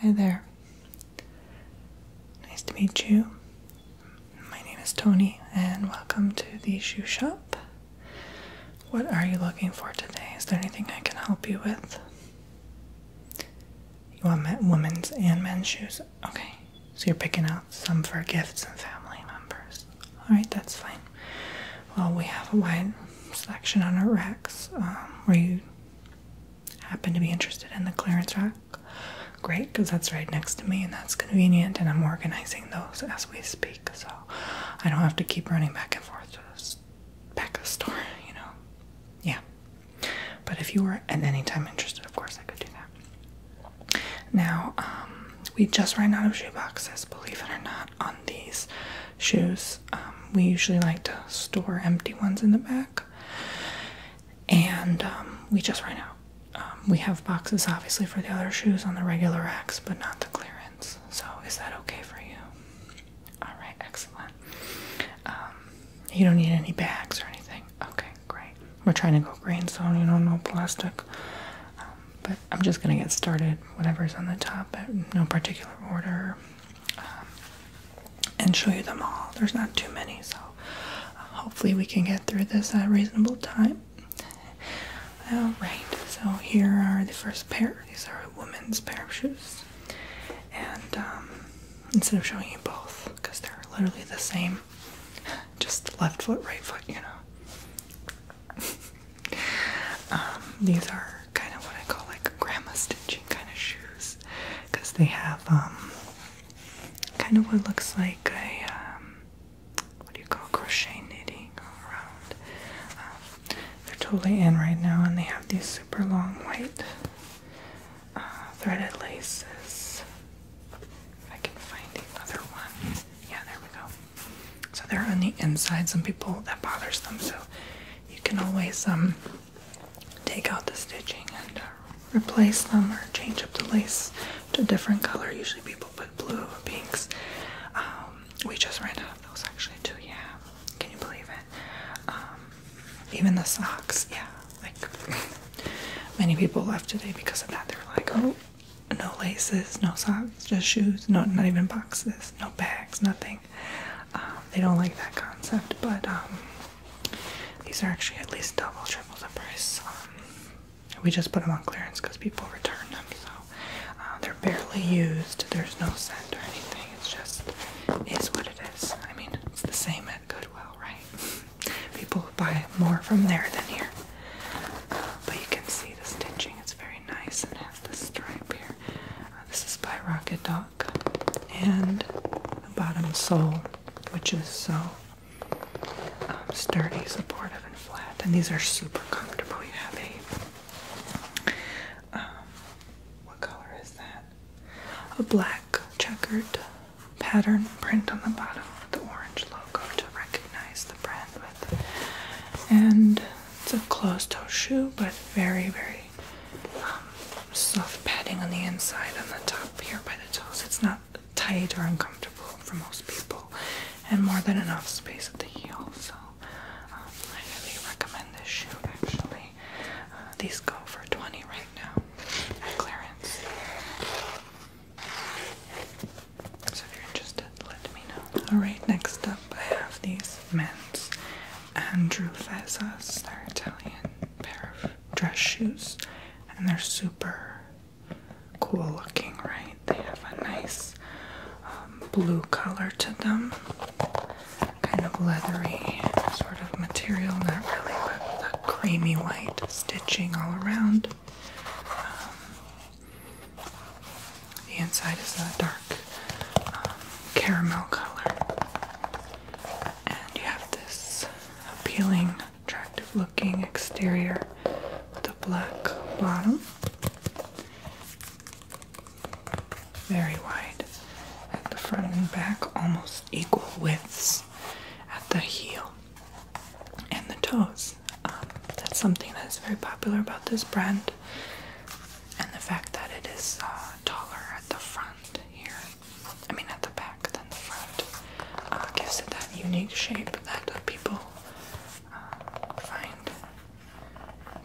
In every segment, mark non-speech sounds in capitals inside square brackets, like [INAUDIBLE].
Hi there. Nice to meet you. My name is Tony, and welcome to the shoe shop. What are you looking for today? Is there anything I can help you with? You want women's and men's shoes? Okay, so you're picking out some for gifts and family members. Alright, that's fine. Well, we have a wide selection on our racks. Um, were you happen to be interested in the clearance rack, great, because that's right next to me and that's convenient. And I'm organizing those as we speak, so I don't have to keep running back and forth to the back of the store, [LAUGHS] you know. Yeah, but if you are at any time interested, of course, I could do that. Now, um, we just ran out of shoe boxes, believe it or not, on these shoes. Um, we usually like to store empty ones in the back, and um, we just right now um, we have boxes obviously for the other shoes on the regular racks, but not the clearance. So, is that okay for you? All right, excellent. you don't need any bags or anything. Okay, great. We're trying to go greenstone, you know, no plastic. but I'm just gonna get started. Whatever's on the top, no particular order. Um, and show you them all. There's not too many, so uh, hopefully we can get through this at a reasonable time. Alright, so here are the first pair. These are a woman's pair of shoes. And um, instead of showing you both, because they're literally the same, [LAUGHS] just left foot, right foot, you know. [LAUGHS] Um, these are kind of what I call like grandma stitching kind of shoes because they have um, kind of what looks like a um, what do you call crochet knitting around. Um, they're totally in right now, and they have these super long white uh, threaded laces. If I can find another one, yeah, there we go. So they're on the inside. Some people that bothers them, so you can always um, take out the stitching and uh, replace them or change up the lace to a different color. Usually people put blue or pinks. Um, we just ran out of those actually too, yeah. Can you believe it? Um, even the socks, yeah. Like [LAUGHS] many people left today because of that. They were like, oh, no laces, no socks, just shoes, no not even boxes, no bags, nothing. Um, they don't like that concept, but um, these are actually at least double, triple the price. Um, we just put them on clearance because people return them, so uh, they're barely used. There's no scent or anything. It's just is what it is. I mean, it's the same at Goodwill, right? [LAUGHS] people buy more from there than here. but you can see the stitching. It's very nice and has the stripe here. Uh, this is by Rocket Dock, And the bottom sole, which is so um, sturdy, supportive, and flat. And these are super comfortable. You have a, um, what color is that? A black checkered pattern print on the bottom with the orange logo to recognize the brand with. And it's a closed toe shoe, but very, very um, soft padding on the inside, on the top here by the toes. It's not tight or uncomfortable for most people, and more than enough space at the heel. So, um, I highly recommend this shoe actually. Uh, these go for 20 right now at clearance. So, if you're interested, let me know. Alright, next up, I have these men's Andrew Fezzas. They're Italian pair of dress shoes, and they're super cool looking, right? They have a nice um, blue color to them, kind of leathery sort of material, not really, but the creamy white stitching all around. Um, the inside is a dark um, caramel color. And you have this appealing, attractive looking exterior with a black bottom. Very wide at the front and back, almost equal widths at the heel and the toes. Um, that's something that's very popular about this brand and the fact that it is uh, taller at the front here, I mean at the back than the front, uh, gives it that unique shape that people uh, find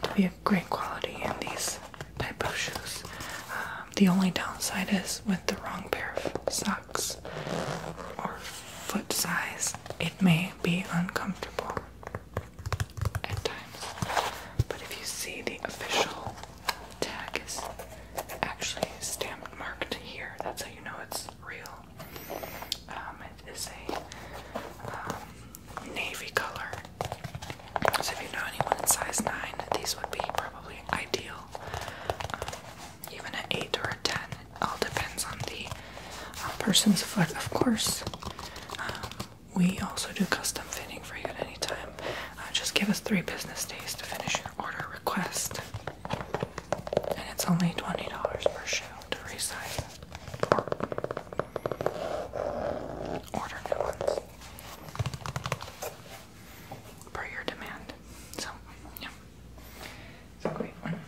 to be a great quality in these type of shoes. Um, the only downside is with the wrong pair of socks or foot size, it may be uncomfortable at times. But if you see the official tag is actually stamped marked here, that's how you know it's real. Um, it is a um, navy color. So if you know anyone in size 9, these would be probably ideal. Um, even an 8 or a 10, it all depends on the uh, person's foot, of course. We also do custom fitting for you at any time. Uh, just give us three business days to finish your order request. And it's only $20 per shoe to resize or order new ones per your demand. So, yeah. It's a great one.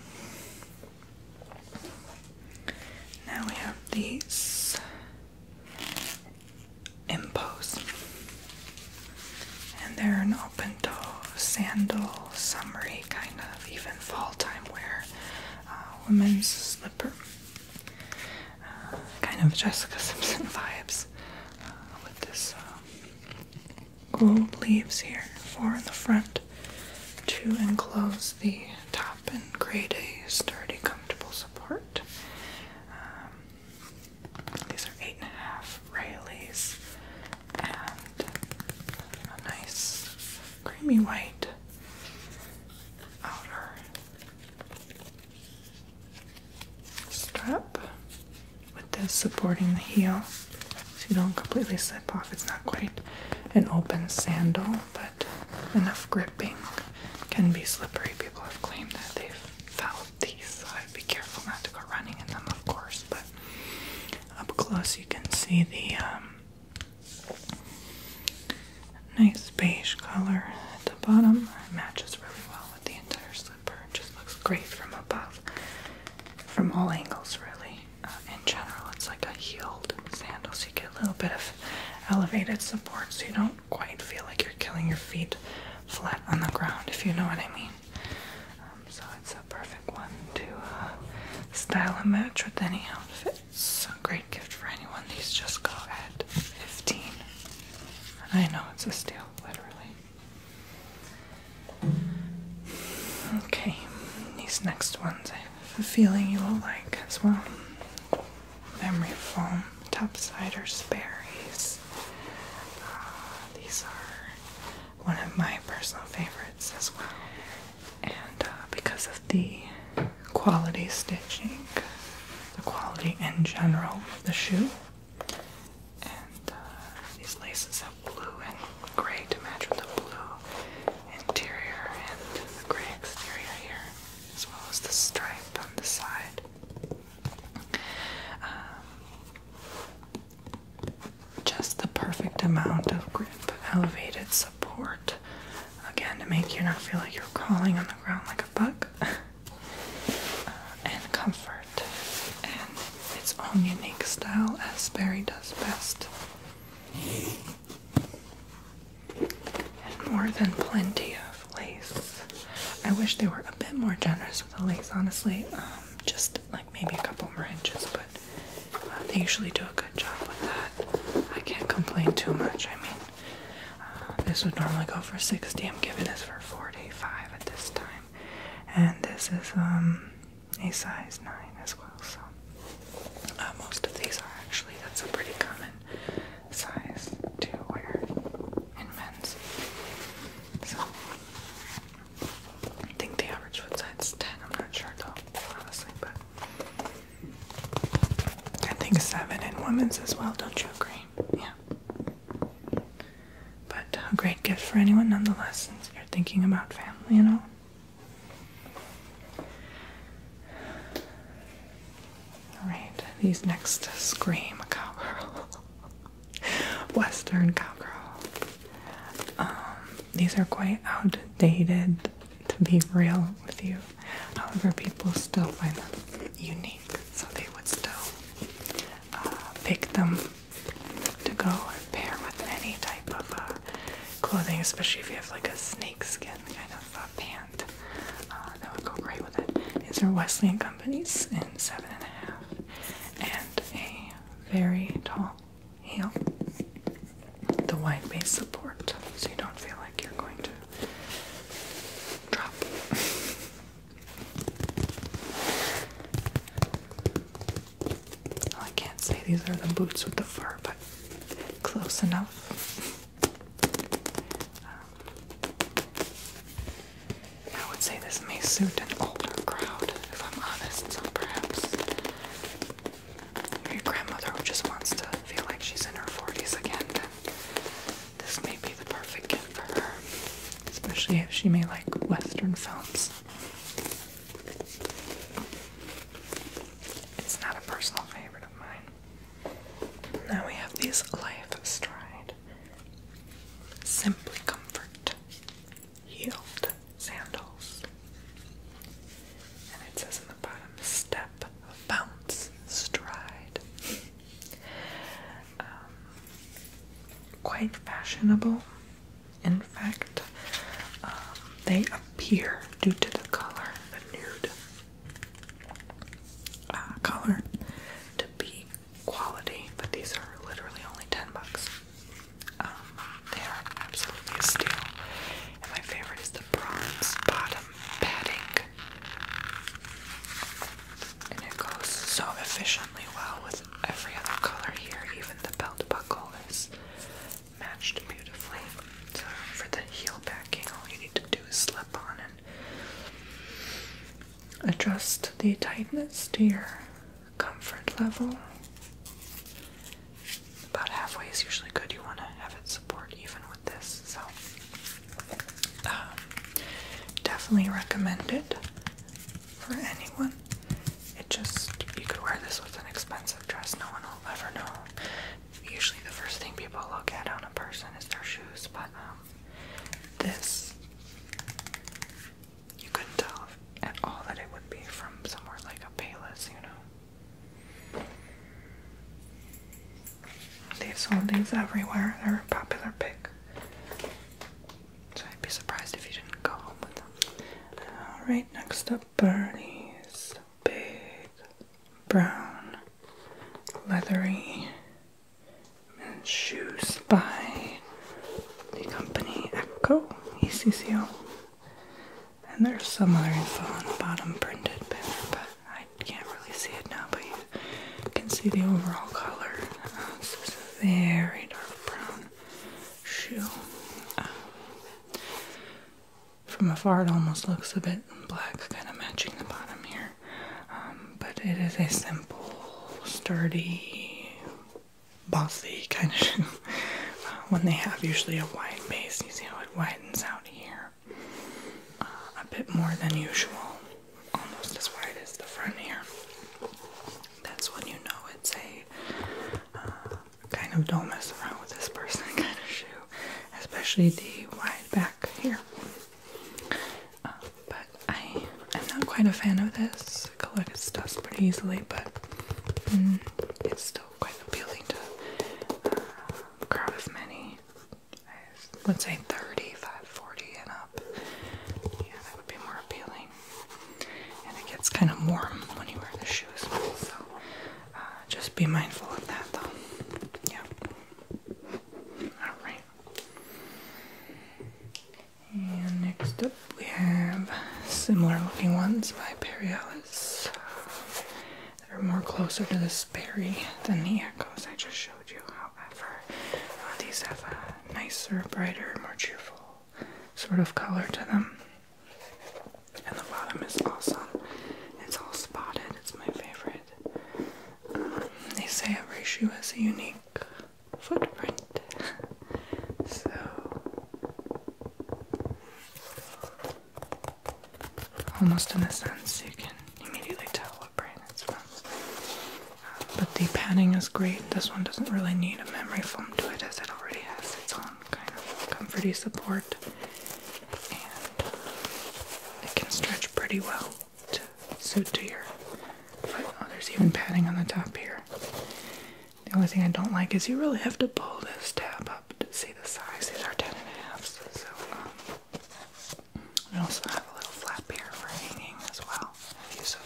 Now we have these impos, and they're an open toe sandal, summery kind of, even fall time wear, uh, women's slipper, uh, kind of Jessica Simpson [LAUGHS] vibes uh, with this uh, gold leaves here, four in the front, to enclose the top up and create a sturdy, comfortable support. Um, these are eight and a half Rayleighs and a nice creamy white outer strap with this supporting the heel so you don't completely slip off. It's not quite an open sandal, but enough gripping can be slippery. People have claimed that they've felt these, so I'd be careful not to go running in them, of course. But up close, you can see the um, nice beige color at the bottom. matches really well with the entire slipper. It just looks great from above, from all angles, really. Uh, in general, it's like a heeled sandal, so you get a little bit of elevated support, so you don't quite feel like you're killing your feet flat on the ground, if you know what I mean. Um, so it's a perfect one to uh, style a match with any outfit. It's a great gift for anyone. These just go at 15. I know it's a steal, literally. Okay, these next ones I a feeling you will like as well. Memory foam, topsiders, berries. Uh, these are one of my personal favorites as well. And uh, because of the quality stitching, the quality in general of the shoe, and uh, these laces have blue and gray to match with the blue interior and the gray exterior here, as well as the stripe on the side. Um, just the perfect amount of grip, elevated support, again to make you not feel like you're crawling on the ground like a bug, [LAUGHS] uh, and comfort, and its own unique style as Barry does best. Had more than plenty of lace. I wish they were a bit more generous with the lace, honestly. Um, just like maybe a couple more inches, but uh, they usually do a good job with that. I can't complain too much. I mean, uh, this would normally go for 60. I'm giving this for 45 at this time, and this is um a size 9 as well. So uh, most of these are actually, that's a pretty common size to wear in men's. So I think the average foot size is 10. I'm not sure though, honestly, but I think 7 in women's as well, don't you agree? Yeah. But a uh, great gift for anyone nonetheless, since you're thinking about family and all. Alright, these next scream cowgirl. [LAUGHS] Western cowgirl. Um, these are quite outdated to be real with you. However, people still find them unique, so they would still uh, pick them to go and pair with any type of uh, clothing, especially if you have like a snakeskin kind of uh, pant. Uh, that would go great with it. These are Wesley and Company's in seven and a half, and a very tall heel. The wide base support, so you don't feel like you're going to drop. [LAUGHS] Oh, I can't say these are the boots with the fur, but close enough. Um, I would say this may suit an older crowd, if I'm honest, so perhaps your grandmother who just wants to feel like she's in her 40s again, this may be the perfect gift for her, especially if she may like Western films. It's not a personal favorite of mine. Now we have these Life Stride Simply Comfort Heeled Sandals. And it says in the bottom, step, bounce, stride. Um, quite fashionable. In fact, um, they appear due to the color, the nude uh, color, to be quality, but these are literally only 10 bucks. Um, they are absolutely a steal. And my favorite is the bronze bottom padding. And it goes so efficiently well with every other color here, even the belt buckle is matched beautifully. So for the heel backing, all you need to do is slip on and adjust the tightness to your comfort level. About halfway is usually good. You want to have it support even with this, so um, definitely recommend it for anyone. It just, you could wear this with an expensive dress, no one will ever know. Usually, the first thing people look at on a person is their shoes, but um, this, you couldn't tell at all that it would be from somewhere like a Payless, you know. They've sold these everywhere, they're a popular pick. So I'd be surprised if you didn't go home with them. Alright, uh, next up Bernie's big brown leathery men's shoes by the company Echo ECCO. And there's some other info on the bottom printed but I can't really see it now, but you can see the overall color. Uh, this is very dark brown shoe. Ah. from afar, it almost looks a bit black, kind of matching the bottom here. Um, but it is a simple, sturdy, bossy kind of one. [LAUGHS] Uh, they have usually a wide base, you see how it widens out here uh, a bit more than usual, almost as wide as the front here. That's when you know it's a kind of don't mess around with this person kind of shoe, especially the wide back here. Um, but I am not quite a fan of this. Collect its dust pretty easily, but mm, it's still quite appealing to uh, crowd as many as, let's say, 35, 40 and up. Yeah, that would be more appealing. And it gets kind of warm when you wear the shoes, so uh, just be mindful of that though. Yeah. Alright. And next up we have similar looking ones by Periolis. They're more closer to the Sperry than the Echoes I just showed you, however. Uh, these have a nicer, brighter, more cheerful sort of color to them. And the bottom is awesome. It's all spotted. It's my favorite. Um, they say every shoe has a unique footprint. so almost in a sense you can immediately tell what brand it's from. But the padding is great. This one doesn't really need a memory foam to it as it already has its own kind of comforty support. And it can stretch pretty well So suit to your foot. Oh, there's even padding on the top here. The only thing I don't like is you really have to pull this tab up to see the size. These are 10 and a half, so we um, also have a little flap here for hanging as well, if you so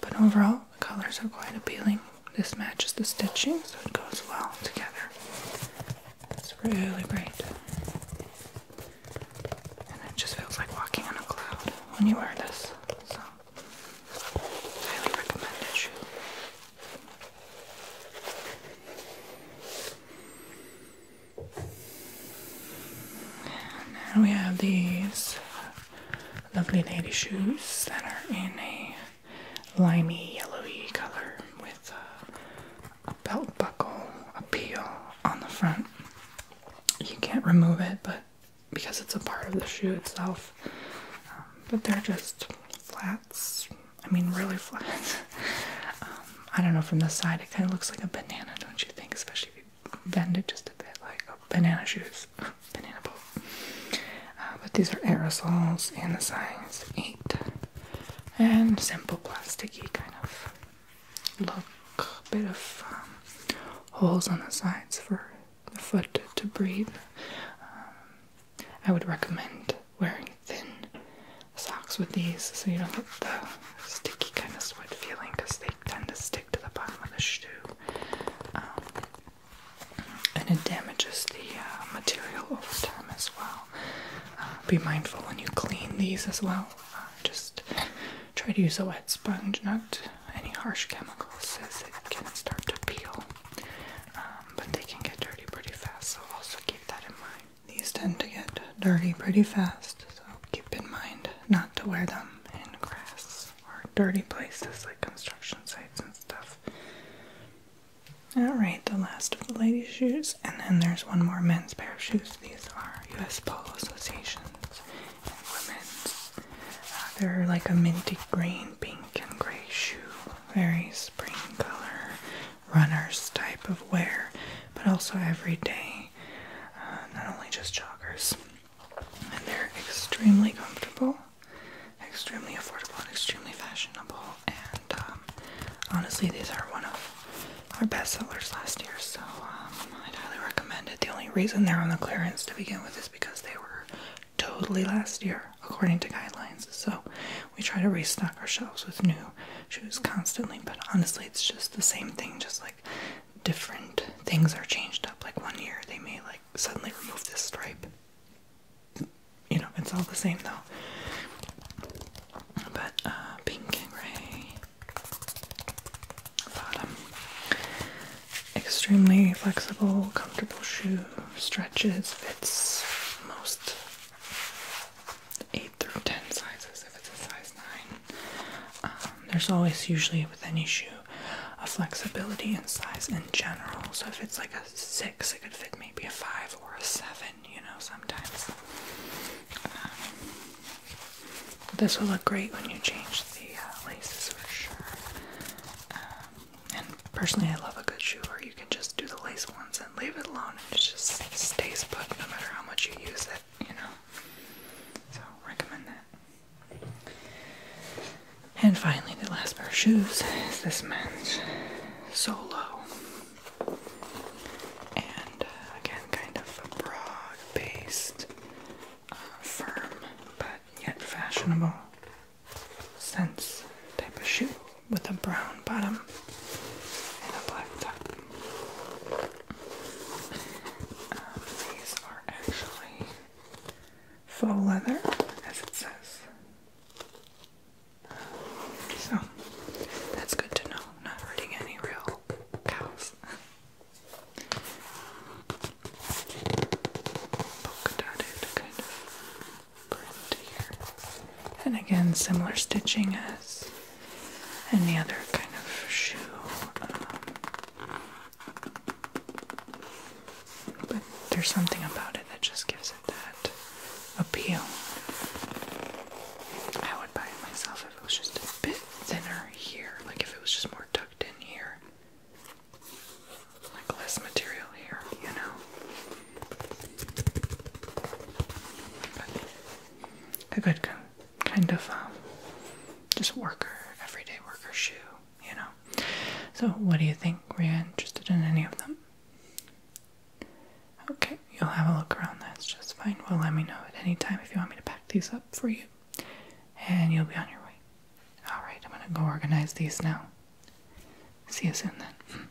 but overall the colors are quite appealing. This matches the stitching, so it goes well together. It's really great. And it just feels like walking on a cloud when you wear this. So, highly recommended now we have these lovely lady shoes that are in a limey yellowy color with a, belt buckle, appeal on the front. You can't remove it, but because it's a part of the shoe itself. Um, but they're just flats. I mean, really [LAUGHS] flat. Um, I don't know, from the side it kind of looks like a banana, don't you think? Especially if you bend it just a bit like oh, banana shoes, [LAUGHS] banana boat. Uh, but these are aerosols, and the size eight, and simple plasticky kind of look, bit of um, holes on the sides for the foot to breathe. Um, I would recommend wearing thin socks with these so you don't get the sticky kind of sweat feeling because they tend to stick to the bottom of the shoe, um, and it damages the uh, material over time as well. Uh, be mindful when you clean these as well. Uh, just try to use a wet sponge, not any harsh chemicals, as it can start to peel. Um, but they can get dirty pretty fast, so also keep that in mind. These tend to get dirty pretty fast, so keep in mind not to wear them in grass or dirty places like construction sites and stuff. Alright, the last of the ladies' shoes, and then there's one more men's pair of shoes. These are US Polo Association's and women's. Uh, they're like a minty green, pink, and gray shoe. Very spring color, runners type of wear, but also everyday. Uh, not only just joggers and they're extremely comfortable, extremely affordable, and extremely fashionable. And um, honestly, these are one of our best sellers last year, so um, i highly recommend it. The only reason they're on the clearance to begin with is because they were totally last year, according to guidelines. So we try to restock our shelves with new shoes constantly, but honestly, it's just the same thing, just like different things are changed up. Like one year they may like suddenly remove this stripe. You know, it's all the same though. But uh, pink and gray bottom. Extremely flexible, comfortable shoe, stretches, fits most 8 through 10 sizes if it's a size 9. Um, there's always usually with any shoe a flexibility in size in general. So if it's like a six, it could fit maybe a five or a seven. You know, sometimes. Um, this will look great when you change the uh, laces for sure. Um, and personally, I love a good shoe where you can just do the lace once and leave it alone, and it just stays put no matter how much you use it you know. So recommend that. And finally, the last pair of shoes is this men's solo. And uh, again, kind of a broad based, uh, firm, but yet fashionable sense type of shoe with a brown bottom and a black top these are actually faux leather, as it says. so that's good to know. not hurting any real cows. Polka dotted kind of print here. And again, similar stitching as any other kind of shoe. Um, but there's something about it that just gives it that appeal. I would buy it myself if it was just a bit thinner here, like if it was just more tucked in here. Like less material here, you know. But a good kind of um, just worker, everyday worker shoe, you know. So, what do you think? Were you interested in any of them? Okay, you'll have a look around. That's just fine. Well, let me know at any time if you want me to pack these up for you, and you'll be on your way. All right, I'm gonna go organize these now. See you soon then.